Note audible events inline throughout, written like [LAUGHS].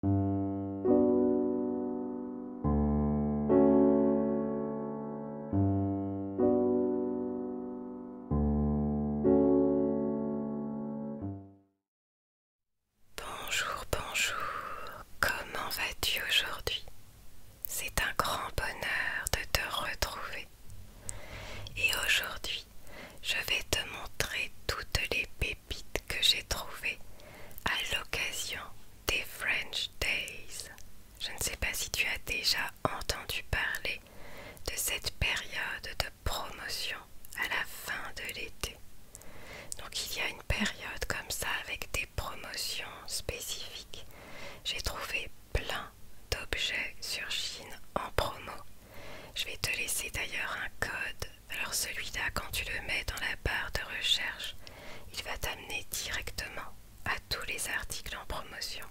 Bonjour, bonjour, comment vas-tu aujourd'hui C'est un grand bonheur de te retrouver. Et aujourd'hui, je vais te montrer toutes les que j'ai trouvé à l'occasion des French Days. Je ne sais pas si tu as déjà entendu parler de cette période de promotion à la fin de l'été. Donc il y a une période comme ça avec des promotions spécifiques. J'ai trouvé plein d'objets sur Chine en promo. Je vais te laisser d'ailleurs un code alors celui-là, quand tu le mets dans la barre de recherche, il va t'amener directement à tous les articles en promotion.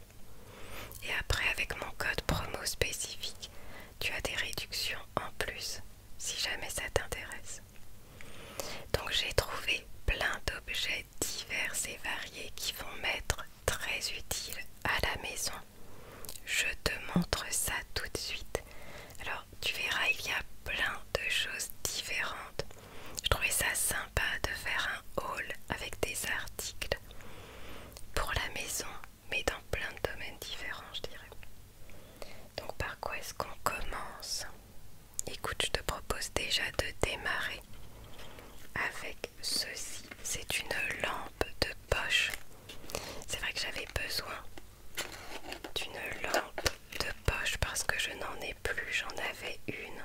Et après, avec mon code promo spécifique, tu as des réductions en plus, si jamais ça t'intéresse. Donc j'ai trouvé plein d'objets divers et variés qui vont m'être très utiles à la maison. Je te montre ça tout de suite. Alors tu verras, il y a plein de choses différentes. Je trouvais ça sympa de faire un haul avec des articles pour la maison, mais dans plein de domaines différents, je dirais. Donc par quoi est-ce qu'on commence Écoute, je te propose déjà de démarrer avec ceci. C'est une lampe de poche. C'est vrai que j'avais besoin d'une lampe de poche parce que je n'en ai plus, j'en avais une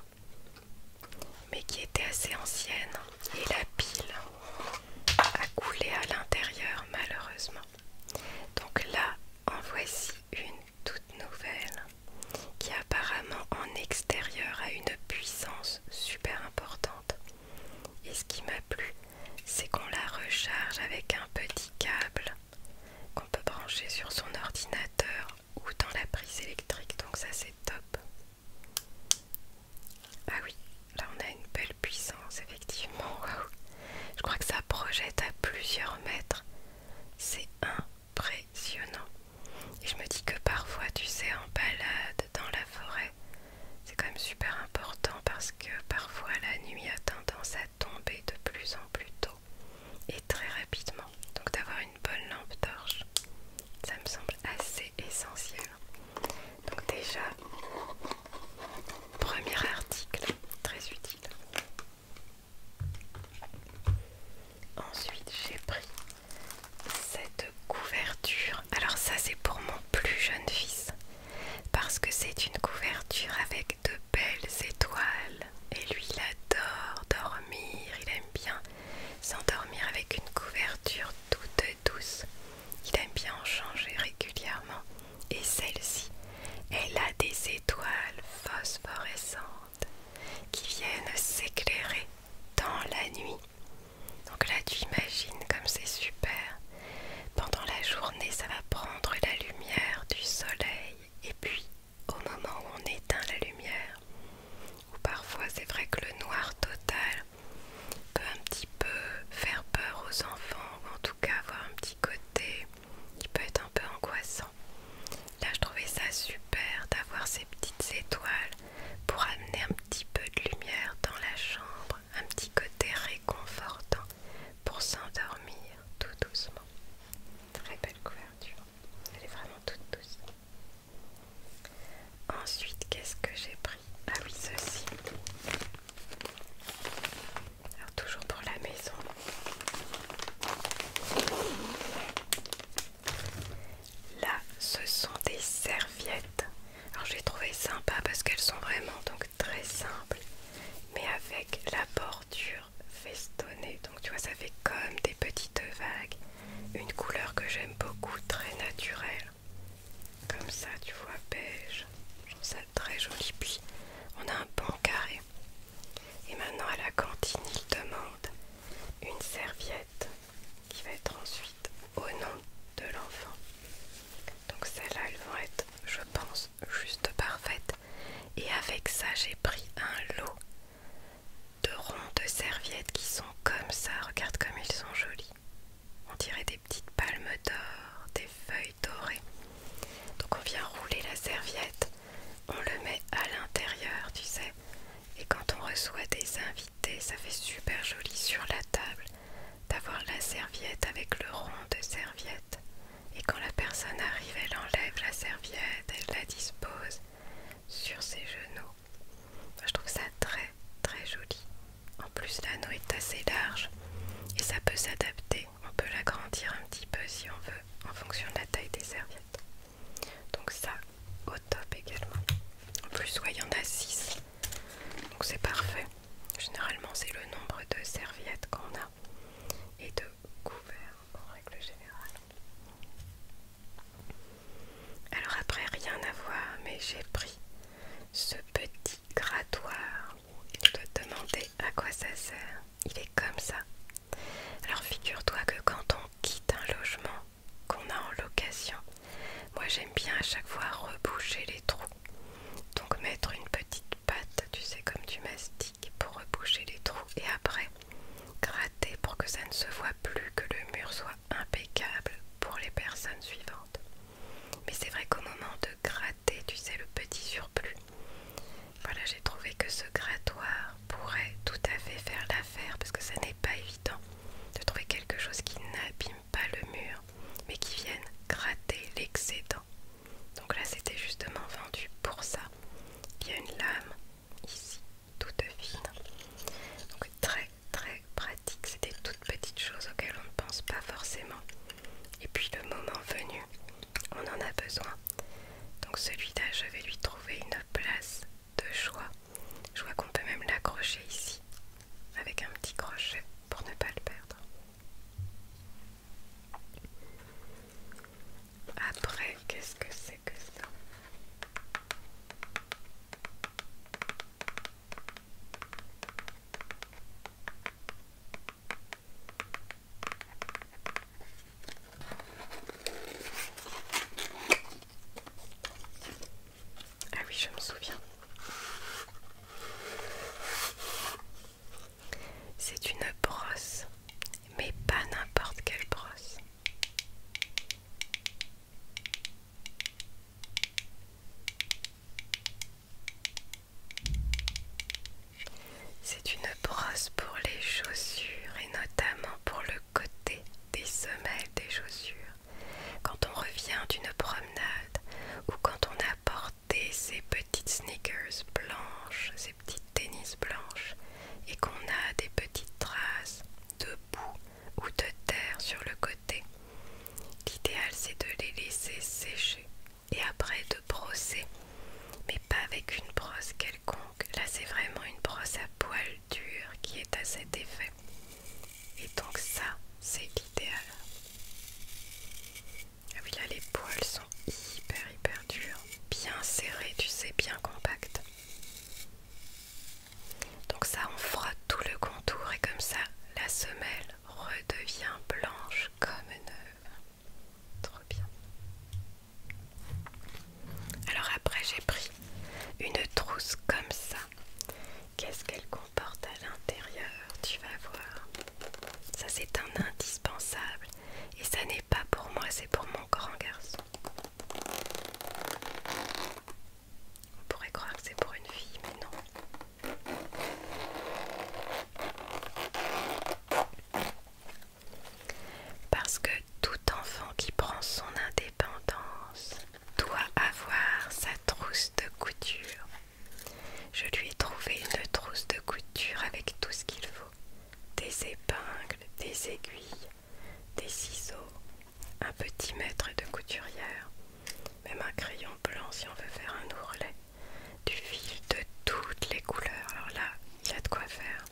mais qui était assez ancienne et la pile a coulé à l'intérieur malheureusement. Donc là en voici une toute nouvelle qui apparemment en extérieur a une puissance super importante. Et ce qui m'a plu, c'est qu'on la recharge avec un petit câble qu'on peut brancher sur son ordinateur ou dans la prise électrique, donc ça c'est top. Ah oui, là on a une belle puissance, effectivement, [LAUGHS] waouh! Je crois que ça projette à plusieurs mètres, c'est impressionnant. Et je me dis que parfois, tu sais, en balade dans la forêt, c'est quand même super important parce que parfois la nuit a tendance tomber de plus en plus tôt et très rapidement. Donc d'avoir une bonne lampe torche, ça me semble assez essentiel. Donc déjà, premier article, très utile. Ensuite, j'ai pris cette couverture. Alors ça, c'est pour mon plus jeune fils parce que c'est une couverture avec de belles étoiles et lui il adore dormir, il aime bien s'endormir avec une couverture toute douce. Il aime bien en changer régulièrement et celle-ci, elle a des étoiles phosphorescentes qui viennent s'éclairer dans la nuit. Donc là tu imagines comme c'est super. Pendant la journée, ça va prendre la lumière du soleil et puis au moment où on éteint la lumière, ou parfois c'est vrai que le noir total peut un petit peu faire peur aux enfants, ou en tout cas avoir un petit côté qui peut être un peu angoissant. Là, je trouvais ça super d'avoir ces petites étoiles pour amener un petit peu de lumière dans la chambre, un petit côté réconfortant pour s'endormir tout doucement. Très belle couverture, elle est vraiment toute douce. Ensuite, qu'est-ce que j'ai pris Ah oui, ceci. Alors toujours pour la maison. Là, ce sont des serviettes. Alors je les trouvais sympas parce qu'elles sont vraiment donc très simple mais avec la bordure festonnée donc tu vois ça fait comme des petites vagues une couleur que j'aime beaucoup très naturelle comme ça tu vois beige je trouve ça très joli puis on a un pan carré et maintenant à la cantine il demande une serviette qui va être ensuite au nom de l'enfant donc celle là elles vont être je pense juste parfaite et avec ça j'ai pris un lot de ronds de serviettes qui sont comme ça, regarde comme ils sont jolis. On dirait des petites palmes d'or, des feuilles dorées. Donc on vient rouler la serviette, on le met à l'intérieur, tu sais. Et quand on reçoit des invités, ça fait super joli sur la table d'avoir la serviette avec le rond de serviette et quand la personne arrive, elle enlève la serviette, elle la dispose sur ses genoux. Je trouve ça très très joli. En plus, l'anneau est assez large et ça peut s'adapter. On peut l'agrandir un petit peu si on veut, en fonction de la taille des serviettes. Donc ça, au top également. En plus, il y en a 6. Donc c'est parfait. Généralement, c'est le nombre de serviettes qu'on a et de couvert en règle générale. Alors après, rien à voir, mais j'ai pris ce petit grattoir. Et te demander à quoi ça sert. Il est comme ça. Alors figure-toi que quand on quitte un logement qu'on a en location, moi j'aime bien à chaque fois reboucher les trous. Donc mettre une petite patte, tu sais, comme tu m'as dit pour reboucher les trous et après gratter pour que ça ne se voit plus, que le mur soit impeccable pour les personnes suivantes. Mais c'est vrai qu'au moment de gratter, tu sais, le petit surplus, voilà, j'ai trouvé que ce grattoir pourrait tout à fait faire l'affaire parce que ça n'est pas évident de trouver quelque chose qui n'abîme pas le mur mais qui vienne gratter l'excédent donc là c'était justement vendu pour ça. Il y a une lame ici, toute fine. Donc très très pratique. C'était des toutes petites choses auxquelles on ne pense pas forcément. Et puis le moment venu, on en a besoin. Donc celui-là, je vais lui trouver une place de choix. Je vois qu'on peut même l'accrocher ici avec un petit crochet pour ne pas le perdre. Après, qu'est-ce que c'est que ça ah oui, je me souviens. C'est une brosse, mais pas n'importe quelle brosse. C'est une brosse pour les chaussures et notamment pour le côté des semelles des chaussures. Quand on revient d'une promenade ou quand on apporte ces petites sneakers blanches, ces petites tennis blanches, et qu'on a des petites traces de boue ou de terre sur le côté. L'idéal c'est de les laisser sécher et après de brosser, mais pas avec une brosse quelconque. Là c'est vraiment une brosse à poils durs qui est à cet effet. Et donc ça c'est l'idéal. Ah oui, là les poils sont hyper hyper durs, bien serrés, tu sais, bien compacts. Donc ça, on frotte tout le contour et comme ça, la semelle redevient blanche comme neuve. Trop bien. Alors après, j'ai pris une trousse comme ça. Qu'est-ce qu'elle comporte à l'intérieur Tu vas voir. Ça, c'est un indispensable. Et ça n'est pas pour moi, c'est pour mon grand garçon. On pourrait croire que c'est pour une fille, mais non. Parce que tout enfant qui prend son indépendance doit avoir sa trousse de couture. Je lui ai trouvé une trousse de couture avec tout ce qu'il faut des épingles, des aiguilles, des ciseaux, un petit mètre de couturière, même un crayon blanc si on veut faire un ourlet, du fil de toutes les couleurs. Alors là, il y a de quoi faire.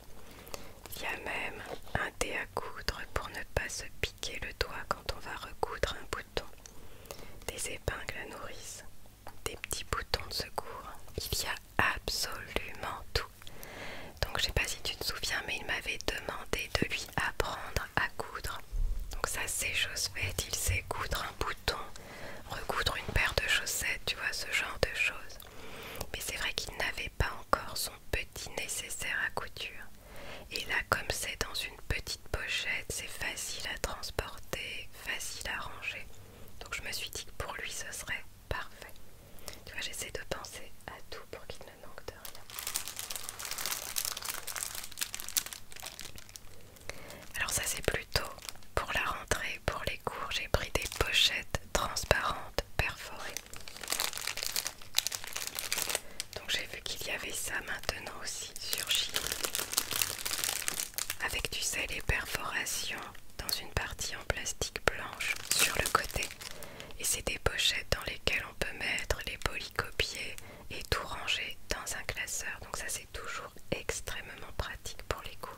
Il y a même un dé à coudre pour ne pas se piquer le doigt quand on va recoudre un bouton, des épingles à nourrice, des petits boutons de secours. Il y a absolument tout. Donc je sais pas si tu te souviens, mais il m'avait demandé de lui apprendre à coudre. Donc ça c'est chose faite, il sait coudre un bouton, recoudre une paire de chaussettes, tu vois, ce genre de choses. Mais c'est vrai qu'il n'avait pas encore son petit nécessaire à couture. Et là, comme c'est dans une petite pochette, c'est facile à transporter, facile à ranger. Donc je me suis dit que pour lui ce serait parfait. Tu vois, j'essaie de penser à tout pour qu'il ne manque de rien. Alors ça c'est plutôt pour la rentrée, pour les cours, j'ai pris des pochettes transparentes perforées. Donc j'ai vu qu'il y avait ça maintenant aussi sur Chine. Avec tu sais les perforations dans une partie en plastique blanche sur le côté. Et c'est des pochettes dans lesquelles on peut mettre les polycopiés et tout ranger dans un classeur. Donc ça c'est toujours extrêmement pratique pour les cours.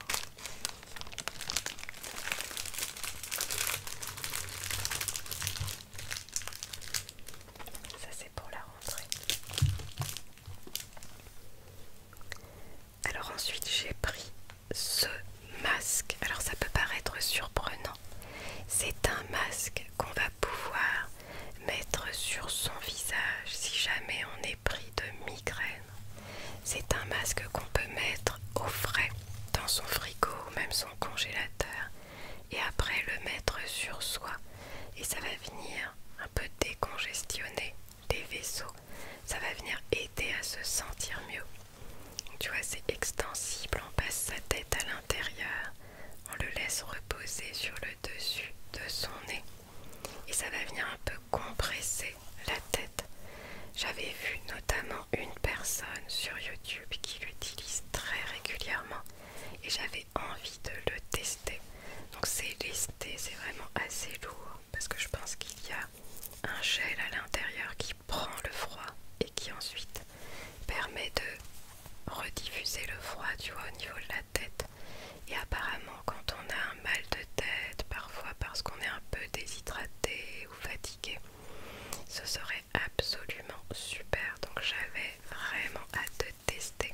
Ça c'est pour la rentrée. Alors ensuite j'ai pris ce masque. Alors ça peut paraître surprenant. C'est un masque qu'on va pouvoir mettre sur son visage si jamais on est pris de migraine. C'est un masque qu'on peut mettre au frais dans son frigo ou même son congélateur et après le mettre sur soi et ça va venir un peu décongestionner les vaisseaux ça va venir aider à se sentir mieux. Tu vois, c'est extensible, on passe sa tête à l'intérieur, on le laisse reposer sur le dessus de son nez et ça va venir un peu compresser la tête. J'avais vu notamment une personne sur YouTube qui l'utilise très régulièrement et j'avais envie de le tester. Donc c'est lesté, c'est vraiment assez lourd parce que je pense qu'il y a un gel à l'intérieur qui prend le froid et qui ensuite permet de rediffuser le froid tu vois au niveau de la tête et apparemment quand on a un mal de tête parfois parce qu'on est un peu déshydraté ou fatigué ce serait absolument super donc j'avais vraiment hâte de tester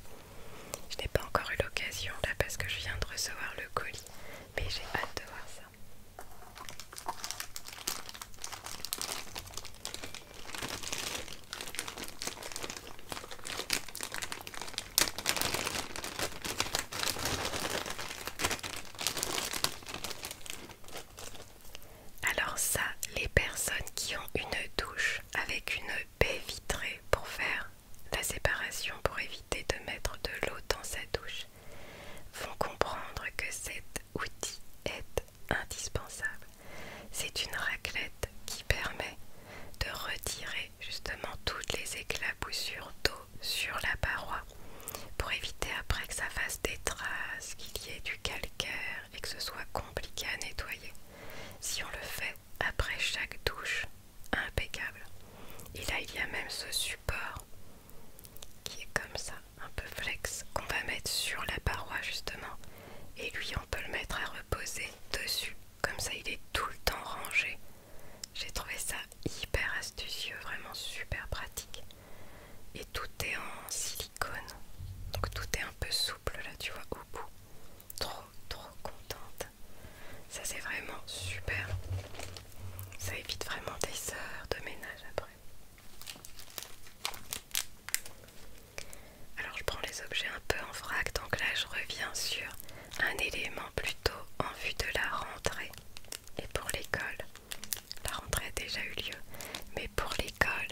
je n'ai pas encore eu l'occasion là parce que je viens de recevoir le colis mais j'ai hâte de voir ça. Alors ça, les personnes qui ont une douche avec une baie vitrée pour faire la séparation pour éviter de mettre de l'eau dans sa douche font comprendre que cet outil est indispensable. C'est une raclette qui permet de retirer justement toutes les éclaboussures d'eau sur la paroi pour éviter après que ça fasse des traces, qu'il y ait du calcaire et que ce soit compliqué à nettoyer. Si on le fait après chaque douche, impeccable. Et là, il y a même ce support qui est comme ça, un peu flex, qu'on va mettre sur la paroi justement. Et lui, on peut le mettre à reposer dessus. Comme ça, il est tout le temps rangé. J'ai trouvé ça hyper astucieux, vraiment super pratique. Et tout est en silicone. Donc tout est un peu souple là, tu vois, au bout. Trop, trop contente. Ça c'est vraiment super. Ça évite vraiment des heures de ménage après. Alors je prends les objets un peu en vrac, donc là je reviens sur un élément plutôt en vue de la rentrée et pour l'école. La rentrée a déjà eu lieu, mais pour l'école,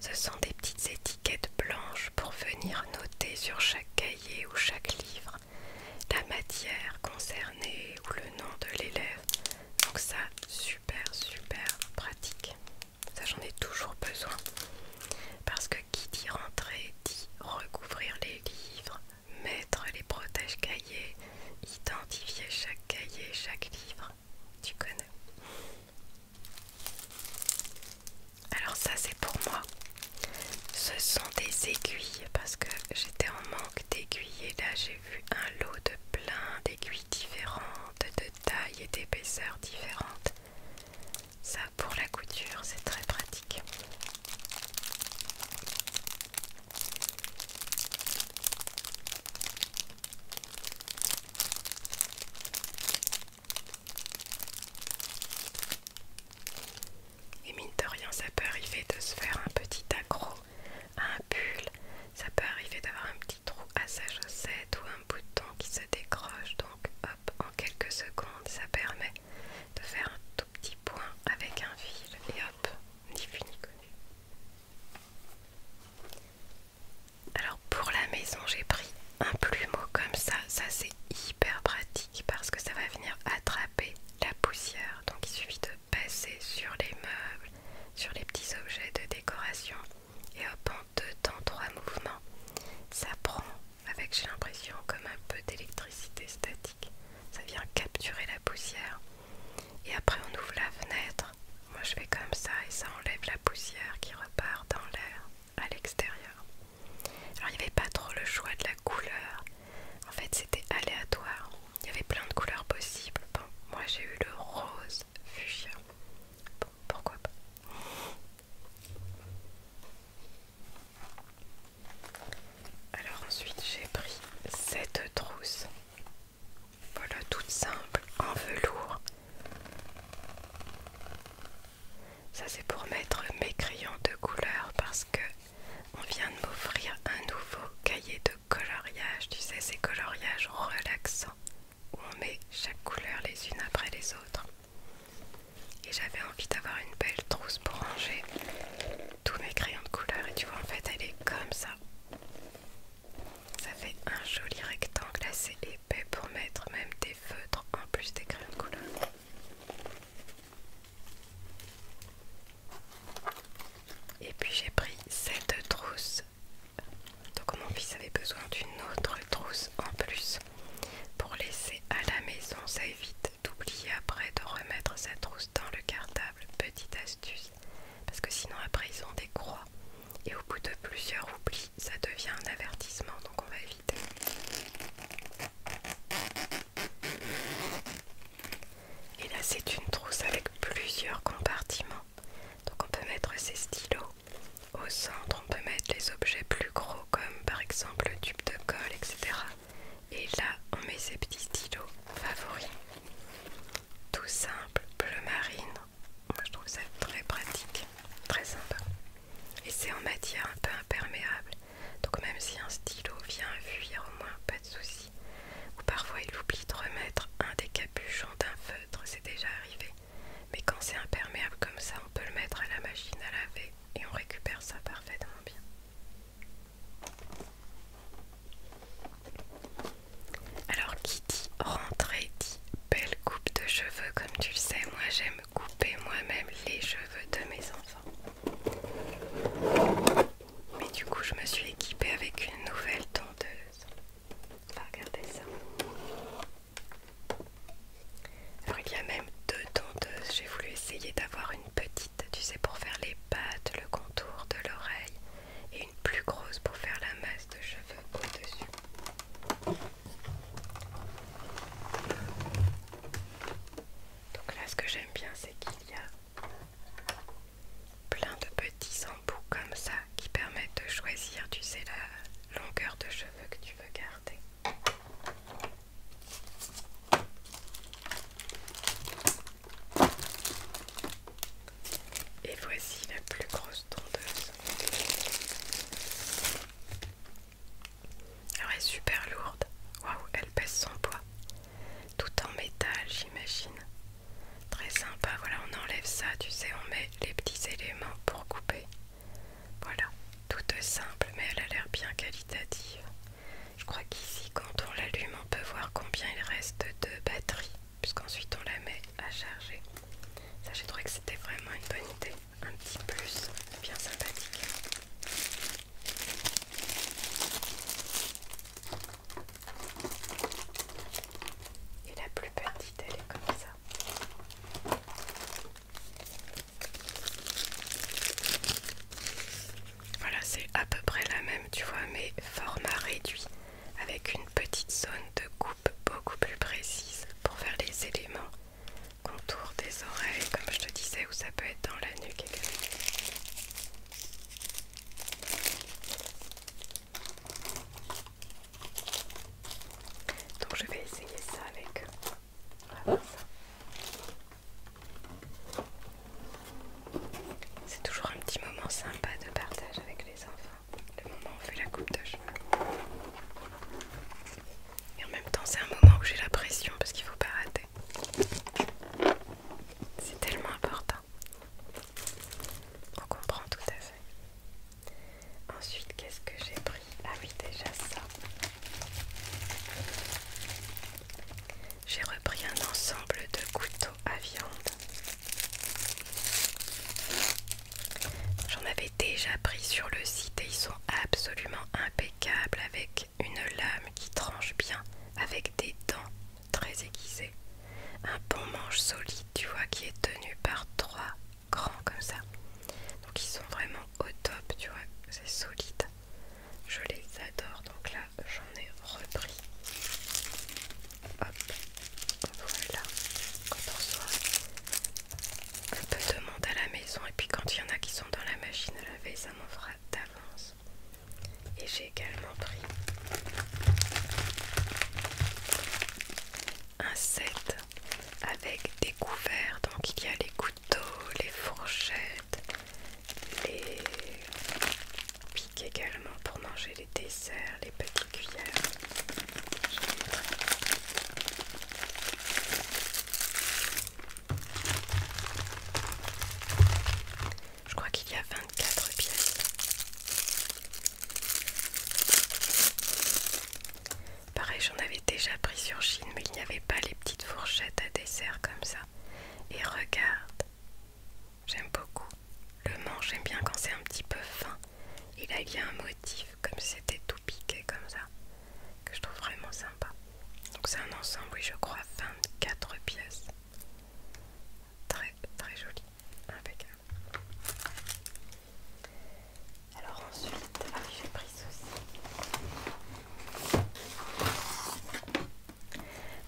ce sont des petites étiquettes blanches pour venir noter sur chaque cahier ou chaque livre la matière concernée ou le nom de l'élève. Donc ça, super, super pratique. Ça, j'en ai toujours besoin. Parce que qui dit rentrer, dit recouvrir les livres, mettre les protèges cahiers, identifier chaque cahier, chaque livre. Tu connais. Alors ça, c'est pour moi. Ce sont des aiguilles parce que j'étais en manque d'aiguilles et là j'ai vu un lot de plein d'aiguilles différentes, de taille et d'épaisseur différentes. Ça pour la couture c'est très pratique. Et mine de rien, ça peut arriver de se faire un petit accro à un pull, ça peut arriver d'avoir un petit trou à sa chaussette ou un bouton qui se décroche. Donc, hop, en quelques secondes, ça permet de faire un tout petit point avec un fil et hop, ni vu ni connu. Alors, pour la maison, j'ai pris un plumeau comme ça. Ça, c'est hyper pratique parce que ça va venir attraper la poussière donc il suffit de passer sur les meubles, sur les petits objets de décoration et hop en deux temps, trois mouvements. Ça prend avec j'ai l'impression comme un peu d'électricité statique. Ça vient capturer la poussière. Et après on ouvre la fenêtre. Moi je fais comme ça et ça enlève la poussière qui repart dans l'air à l'extérieur. Alors il n'y avait pas trop le choix de la couleur. En fait, c'était aléatoire. Il y avait plein de couleurs possibles. moi j'ai eu le rose fuchsia. Bon, pourquoi pas. Alors ensuite, j'ai pris cette trousse. Voilà, toute simple, en velours. Ça c'est pour mettre mes crayons de couleur parce que on vient de m'offrir un nouveau cahier de coloriage, tu sais, ces coloriages relaxants où on met chaque couleur les unes après les autres. Et j'avais envie d'avoir une belle trousse pour ranger tous mes crayons de couleur. Et tu vois, en fait, elle est comme ça. Ça fait un joli rectangle assez épais pour mettre même des feutres en plus des crayons de couleur. Et puis j'ai pris cette trousse. Donc mon fils avait besoin d'une autre trousse en plus pour laisser à la maison. Ça évite d'oublier après de remettre sa trousse dans le cartable. Petite astuce. Parce que sinon après ils ont des croix. Et au bout de plusieurs oublis, ça devient un avertissement. Donc on va éviter. Et là c'est une trousse avec plusieurs compartiments. Donc on peut mettre ses stylos. Au centre on peut mettre les objets plus gros comme par exemple le tube de colle, etc. Et là on met ses petits stylos favoris. Tout simple, bleu marine. Moi je trouve ça très pratique, très sympa. Et c'est en matière un peu imperméable. Donc même si un stylo vient fuir au moins, pas de souci. Ou parfois il oublie de remettre un des capuchons d'un feutre, c'est déjà arrivé. Mais quand c'est imperméable comme ça, on peut le mettre à la machine à laver et on récupère ça parfaitement bien. Alors Kitty, dit rentrée dit belle coupe de cheveux comme tu le sais, moi j'aime couper moi-même les cheveux de mes enfants. Mais du coup, je me suis équipée avec une nouvelle tondeuse. va regarder ça. Alors, il y a même deux tondeuses. J'ai voulu essayer d'avoir une petite, tu sais, pour faire les pattes, le contour de l'oreille, et une plus grosse pour faire la masse de cheveux au-dessus. Donc là, ce que j'aime bien, c'est qu'il y a Plein de petits embouts comme ça qui permettent de choisir, tu sais, la longueur de cheveux que tu veux garder. Et voici la plus grosse tondeuse. elle est super lourde. Waouh, elle pèse son poids tout en métal j'imagine très sympa voilà on enlève ça tu sais on met les petits éléments pour couper voilà toute simple mais elle a l'air bien qualitative je crois qu'ici quand on l'allume on peut voir combien il reste de batterie puisqu'ensuite on la met à charger ça j'ai trouvé que c'était vraiment une bonne idée un petit plus bien sympathique et la plus petite, elle est comme ça. Voilà, c'est à peu près la même, tu vois, mais format réduit, avec une petite zone de coupe beaucoup plus précise pour faire les éléments contour des oreilles, comme je te disais, ou ça peut être dans la nuque également. Donc je vais essayer ça avec... Euh, c'est toujours un petit moment sympa de partage avec les enfants, le moment où on fait la coupe de cheveux. Et en même temps c'est un moment où j'ai la pression parce qu'il ne faut pas rater. C'est tellement important. On comprend tout à fait. Ensuite, qu'est-ce que j'ai pris Ah oui, déjà ça. J'ai repris un ensemble de couteaux à viande. J'en avais déjà pris sur le site et ils sont absolument impeccables avec une lame qui tranche bien, avec des dents très aiguisées. Un bon manche solide, tu vois, qui est tenu par trois grands comme ça. Donc ils sont vraiment au top, tu vois, c'est solide. Je les adore, donc là j'en ai repris. Hop, voilà. Quand on soit un peu de monde à la maison, et puis quand il y en a qui sont dans la machine à laver, ça m'en fera d'avance. Et j'ai également pris un set avec des couverts. Donc il y a les couteaux, les fourchettes, les piques également pour manger les desserts, les petites cuillères. Je crois qu'il y a 24 pièces. Pareil, j'en avais déjà pris sur Chine, mais il n'y avait pas les petites fourchettes à dessert comme ça. Et regarde, j'aime beaucoup. Le manche, j'aime bien quand c'est un petit peu fin. Et là, il y a un motif, comme si c'était tout piqué comme ça, que je trouve vraiment sympa. Donc c'est un ensemble, oui, je crois, 24 pièces. Très très joli, impeccable. Alors ensuite, j'ai pris ceci.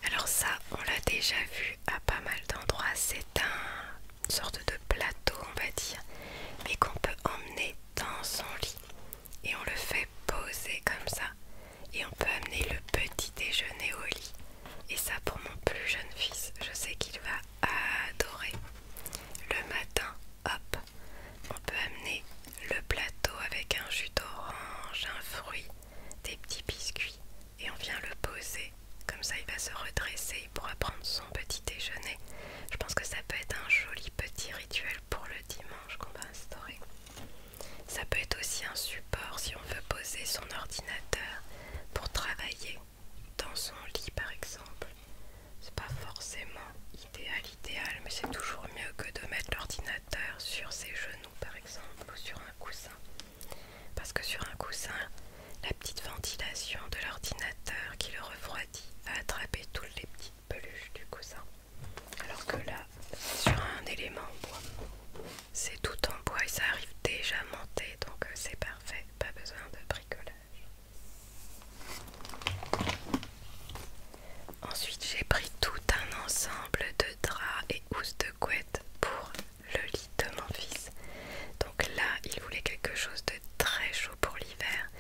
Alors ça, on l'a déjà vu à pas mal d'endroits. C'est un une sorte de plateau, on va dire, mais qu'on peut emmener dans son lit et on le fait poser comme ça et on peut amener le petit déjeuner au lit. Et ça pour mon plus jeune fils, je sais qu'il va adorer. Le matin, hop, on peut amener le plateau avec un jus d'orange, un fruit, des petits biscuits et on vient le poser. Comme ça, il va se redresser, il pourra prendre son petit déjeuner. Je pense que ça peut être un joli petit rituel pour le dimanche qu'on va instaurer. Ça peut être aussi un support si on veut poser son ordinateur pour travailler dans son lit par exemple. C'est pas forcément idéal, idéal, mais c'est toujours mieux que de mettre l'ordinateur sur ses genoux par exemple ou sur un coussin. Parce que sur un coussin, la petite ventilation de l'ordinateur qui le refroidit va attraper toutes les petites peluches du coussin. Alors que là, sur un élément bois. C'est tout en bois et ça arrive déjà monté donc euh, c'est parfait, pas besoin de bricolage. Ensuite j'ai pris tout un ensemble de draps et housse de couette pour le lit de mon fils. Donc là il voulait quelque chose de très chaud pour l'hiver.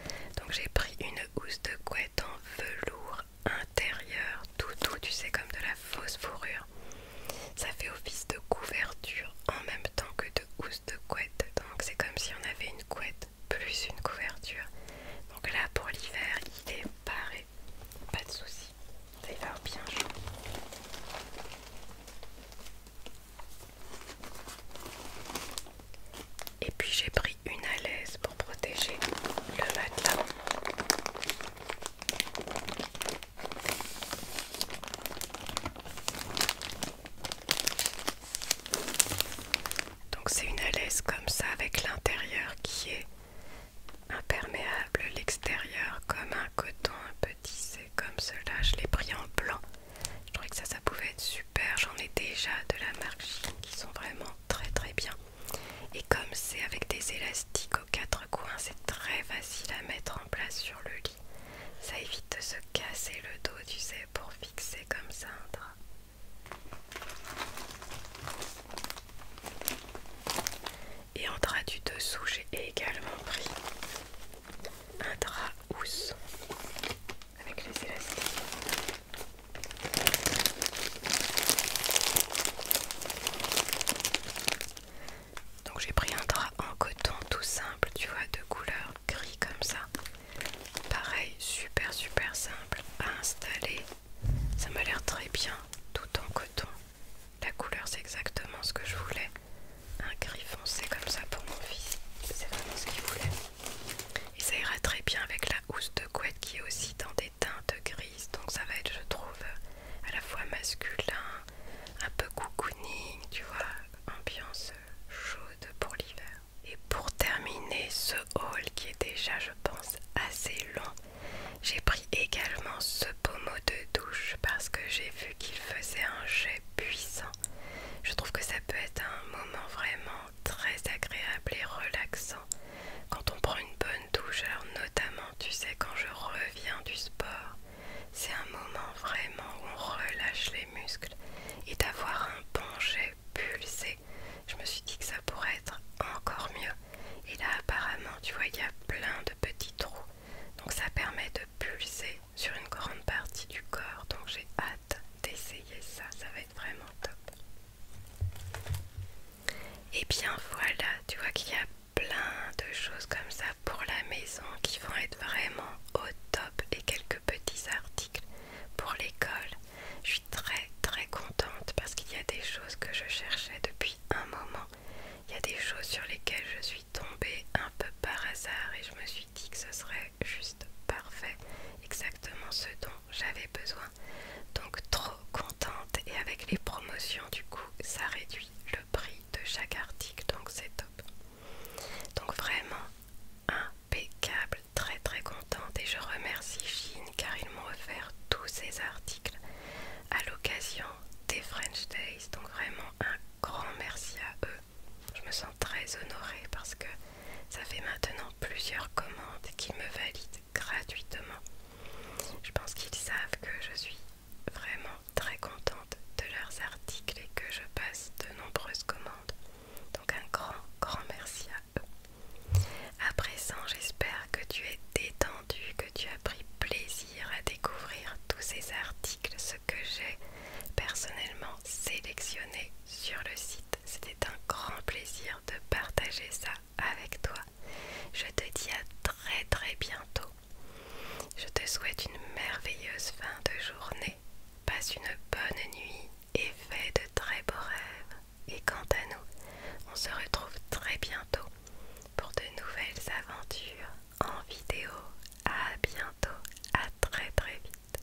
Donc j'ai pris une housse de couette en velours intérieur, tout doux, tu sais, comme de la fausse fourrure. Ça fait office de couverture en même temps que de housse de couette. Donc c'est comme si on avait une couette plus une couverture. Donc là pour l'hiver, il est paré. Pas de souci. Ça va bien chaud. Et puis j'ai pris une à l'aise pour protéger le matelas. Donc c'est une alaise comme ça avec l'intérieur qui est imperméable, l'extérieur comme un coton un peu tissé comme cela. Je l'ai pris en blanc. Je trouvais que ça pouvait être super. J'en ai déjà de la marque qui sont vraiment très très bien. Et comme c'est avec des élastiques aux quatre coins, c'est très facile à mettre en place sur le lit. Ça évite de se casser le dos, tu sais, pour fixer comme ça un drap. Et en drap du dessous, j'ai également pris un drap housse avec les élastiques. Donc j'ai pris un drap en coton tout simple, tu vois, de couleur gris comme ça. Pareil, super super simple à installer. Ça m'a l'air très bien, tout en coton. La couleur c'est exactement ce que je voulais. Un gris foncé comme ça pour mon fils. C'est vraiment ce qu'il voulait. Et ça ira très bien avec la housse de couette qui est aussi dans des teintes grises. Donc ça va être je trouve à la fois masculin, un peu cocooning, tu vois, ambiance chaude pour l'hiver. Et pour terminer ce haul qui est déjà, je pense, assez long, j'ai pris également ce pommeau de douche parce que j'ai vu qu'il faisait un jet puissant. Je trouve que ça peut être un moment vraiment très agréable et relaxant quand on prend une bonne douche, alors notamment, tu sais, quand je reviens du sport, c'est un moment vraiment où on relâche les muscles et d'avoir un bon jet pulsé. Je me suis dit que ça pourrait être encore mieux. Et là, apparemment, tu vois, il y a plein de petits trous. Donc ça permet de pulser sur une grande partie du corps. Donc j'ai hâte d'essayer ça. Ça va être vraiment top. Et bien voilà, tu vois qu'il y a plein de choses comme ça pour la maison qui vont être vraiment au top et quelques petits articles pour l'école. Je suis très très contente parce qu'il y a des choses que je cherchais depuis un moment. Il y a des choses sur lesquelles je suis tombée un peu par hasard et je me suis dit que ce serait juste parfait, exactement ce dont j'avais besoin. Donc trop contente et avec les promotions du coup ça réduit le prix de chaque article donc c'est top donc vraiment impeccable très très contente et je remercie Chine car ils m'ont offert tous ces articles à l'occasion des French Days donc vraiment un grand merci à eux je me sens très honorée parce que ça fait maintenant plusieurs commandes qui me valident gratuitement. Je pense qu'ils savent que je suis vraiment très contente de leurs articles et que je passe de nombreuses commandes. Donc un grand, grand merci à eux. A présent, j'espère que tu es détendu, que tu as pris plaisir à découvrir tous ces articles, ce que j'ai personnellement sélectionné sur le site. C'était un grand plaisir de partager ça avec toi. Je te dis à très très bientôt. Je te souhaite une merveilleuse fin de journée. Passe une bonne nuit et fais de très beaux rêves. Et quant à nous, on se retrouve très bientôt pour de nouvelles aventures en vidéo. À bientôt, à très très vite.